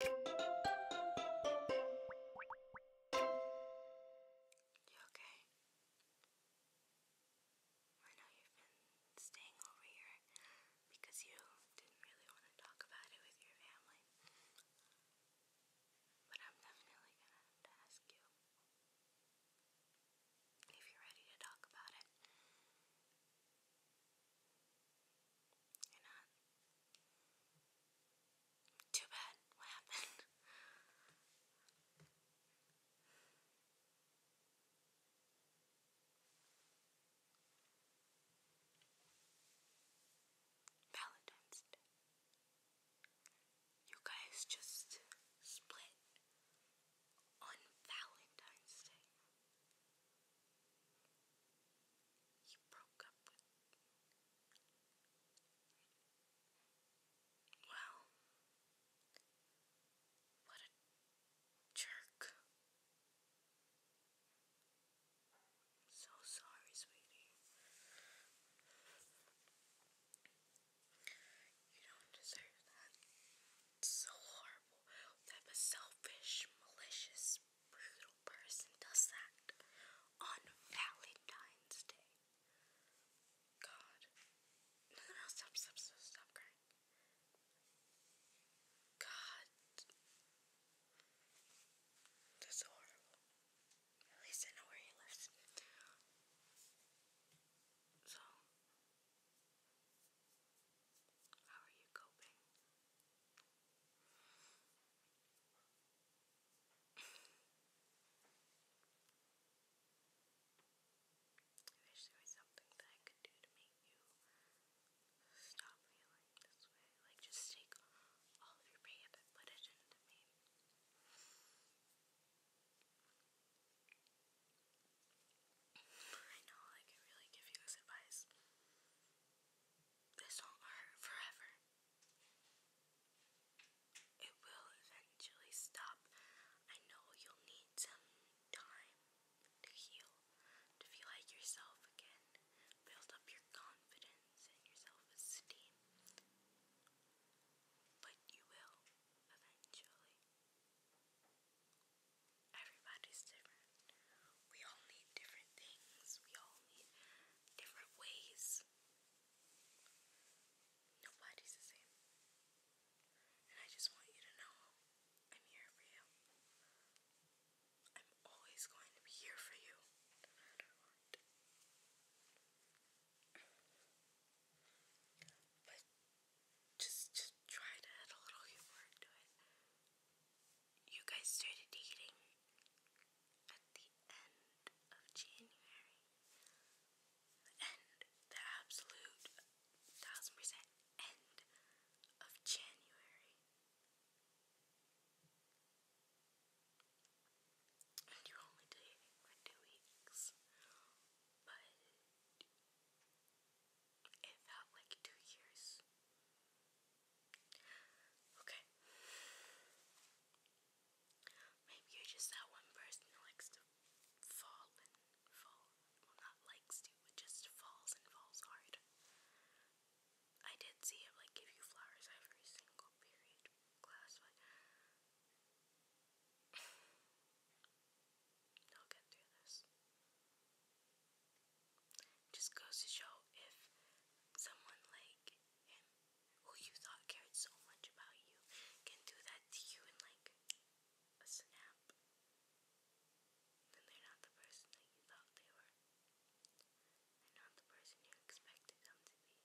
You okay? I know you've been staying over here because you didn't really want to talk about it with your family. But I'm definitely going to ask you if you're ready to talk about it. Too bad. What happened? Valentine's Day. You guys just split on Valentine's Day. He broke up with. Well, what a jerk. so sorry, sweetie. You don't deserve that. It's so horrible. That was selfish, malicious brutal person does that on Valentine's Day. God. No, no, stop, stop, stop, stop crying. God. That's so horrible. At least I know where he lives. So, how are you coping? I wish there was something that I could do to make you stop feeling this way. Like, just take all of your pain and put it into me. I know, like, I really give you this advice. This won't hurt forever. It will eventually stop. I know you'll need some time to heal, to feel like yourself again, build up your confidence and your self esteem. But you will eventually. Everybody's different. We all need different things. We all need different ways. Nobody's the same. And I just want you to know I'm here for you. I'm always going to be here for you, But just just try to add a little humor into it you guys started dating at the end of January. End, the absolute thousand percent end of January. And you're only dating for two weeks. But it felt like two years. Okay. Maybe you're just that one person who likes to fall and fall. Well, not likes to, but just falls and falls hard. I did see him like give you flowers every single period class, but I'll get through this. Just goes to show if someone like him, who you thought cared so much about you, can do that to you in like a snap, then they're not the person that you thought they were. They're not the person you expected them to be.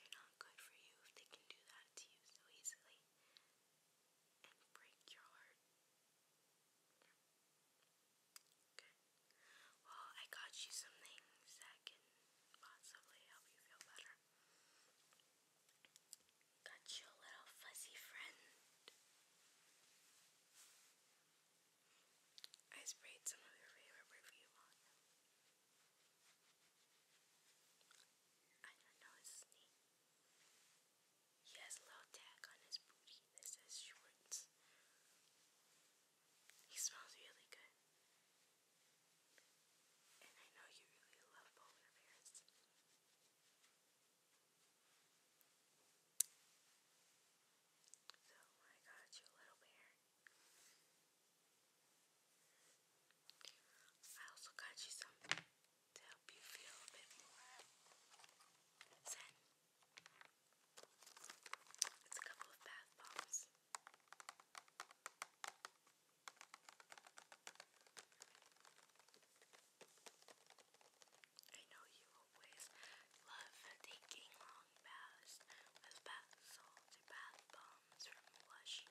They're not good for you if they can do that to you so easily. Well, I got you some things that can possibly help you feel better. Got you a little fuzzy friend. I sprayed some of your favorite perfume on him. I don't know his name. He has a little tag on his booty that says Schwartz. He smells really good. And I know you really love polar bears. So I got you a little bear. I also got you some to you It's a couple of bath bombs. I know you always love taking long baths with bath salts or bath bombs from Lush.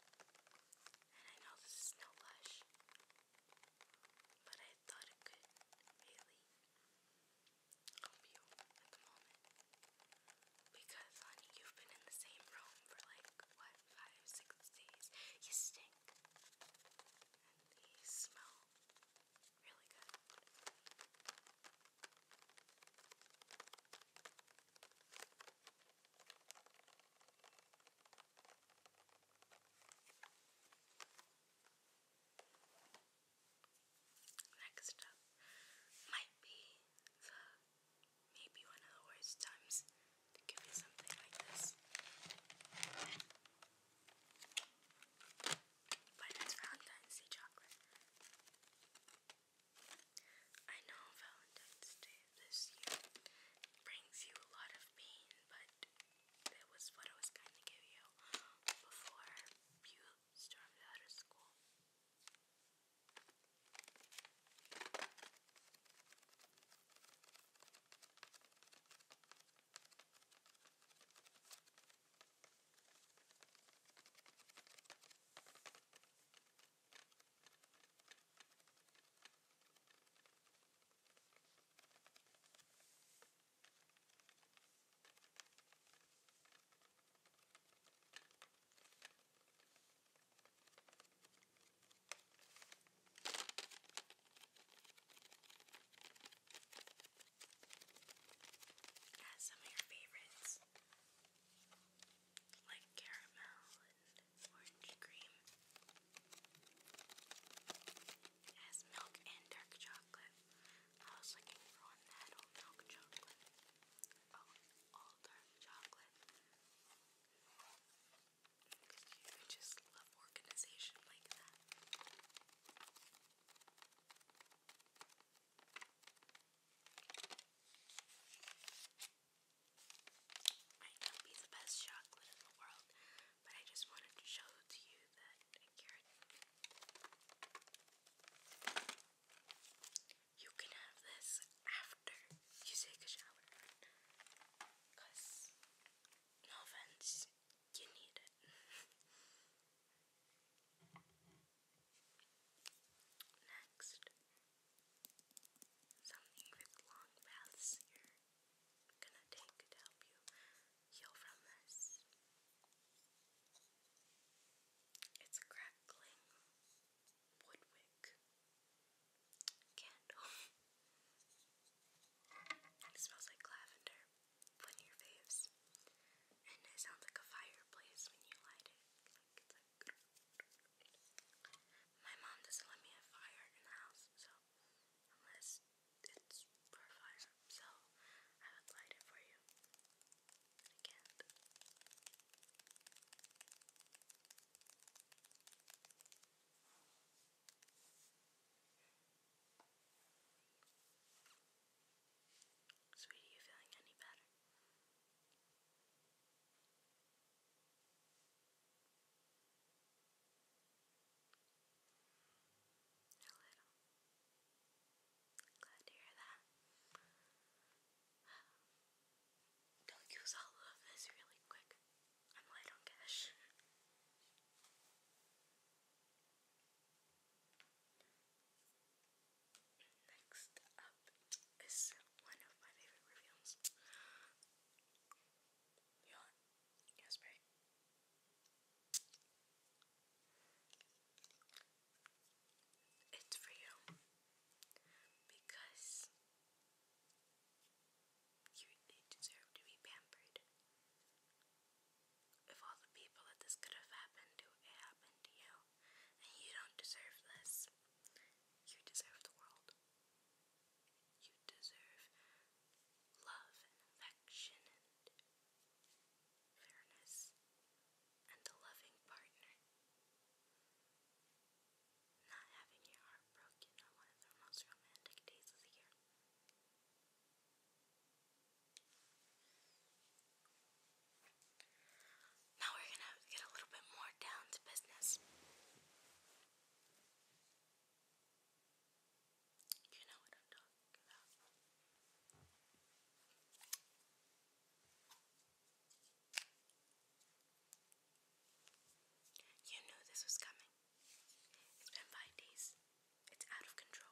I know this is no blush, but I thought it could really help you at the moment. Because, honey, you've been in the same room for like, what, five, six days? You stink. And you smell really good. Next up might be the maybe one of the worst times to give you something like this. But it's Valentine's Day chocolate. I know Valentine's Day this year brings you a lot of pain, but that was what I was going to give you before you stormed out of school. Add some of your favorites, like caramel almond orange cream. It milk and dark chocolate. I was looking for one that had milk chocolate. Oh, all dark chocolate. I just love organization like that might not be the best chocolate in the world, but I just wanted to show to you that You can have this after you take a shower. Because, no offense, you need it. Next, Something with long baths you're gonna take to help you heal from this. It's crackling wood candle. it smells like lavender when your faves. And it sounds like a fireplace when you light it. My mom doesn't let me have fire in the house, so unless it's for fire, so I would light it for you. I can't. Sweetie, you feeling any better? A little. Glad to hear that. Don't use all of this really quick. I'm light on cash. Next up is one of my favorite reveals. Yawn. Yes, right. It's for you because you deserve to be pampered. If all the people that this could have happened to, it happened to you, and you don't deserve this. You deserve the world. You deserve love and affection and fairness and a loving partner. Not having your heart broken on one of the most romantic days of the year. Now we're going to get a little bit more down to business. You know what I'm talking about. You knew this was coming. It's been five days. It's out of control.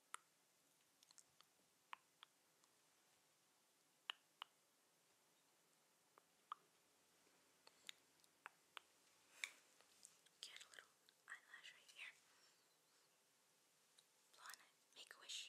Get a little eyelash right here. Blow on it. Make a wish.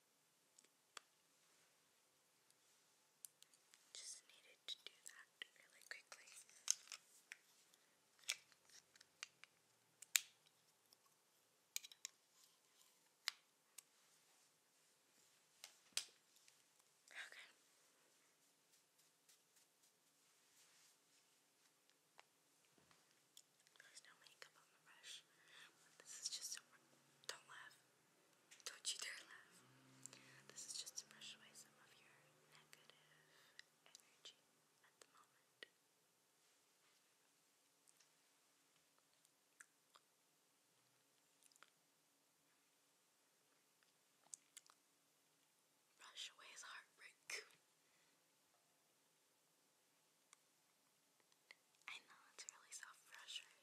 Just needed to do that really quickly. Okay. There's no makeup on the brush. This is just Don't laugh. Don't you dare laugh. This is just to brush away some of your negative energy at the moment. Brush away his heartbreak. I know it's really so frustrating.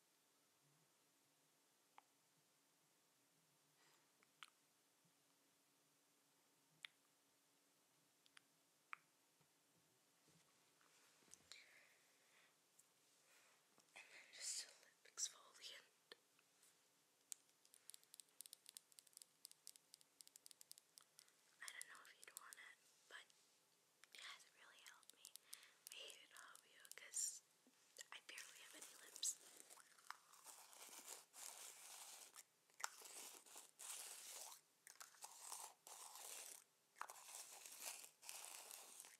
And then just a lip exfoliant. I don't know if you'd want it, but it hasn't really helped me. I hate it all because I barely have any lips.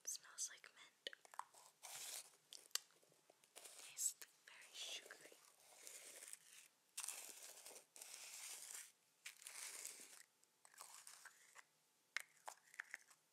smells like mint. Tastes very sugary.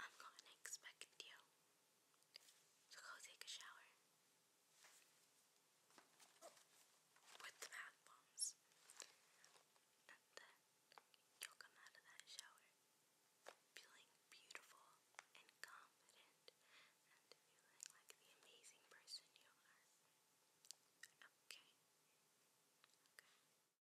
I'm gonna expect you to go take a shower with the bath bombs, you'll come out of that shower feeling beautiful and confident and feeling like the amazing person you are. Okay.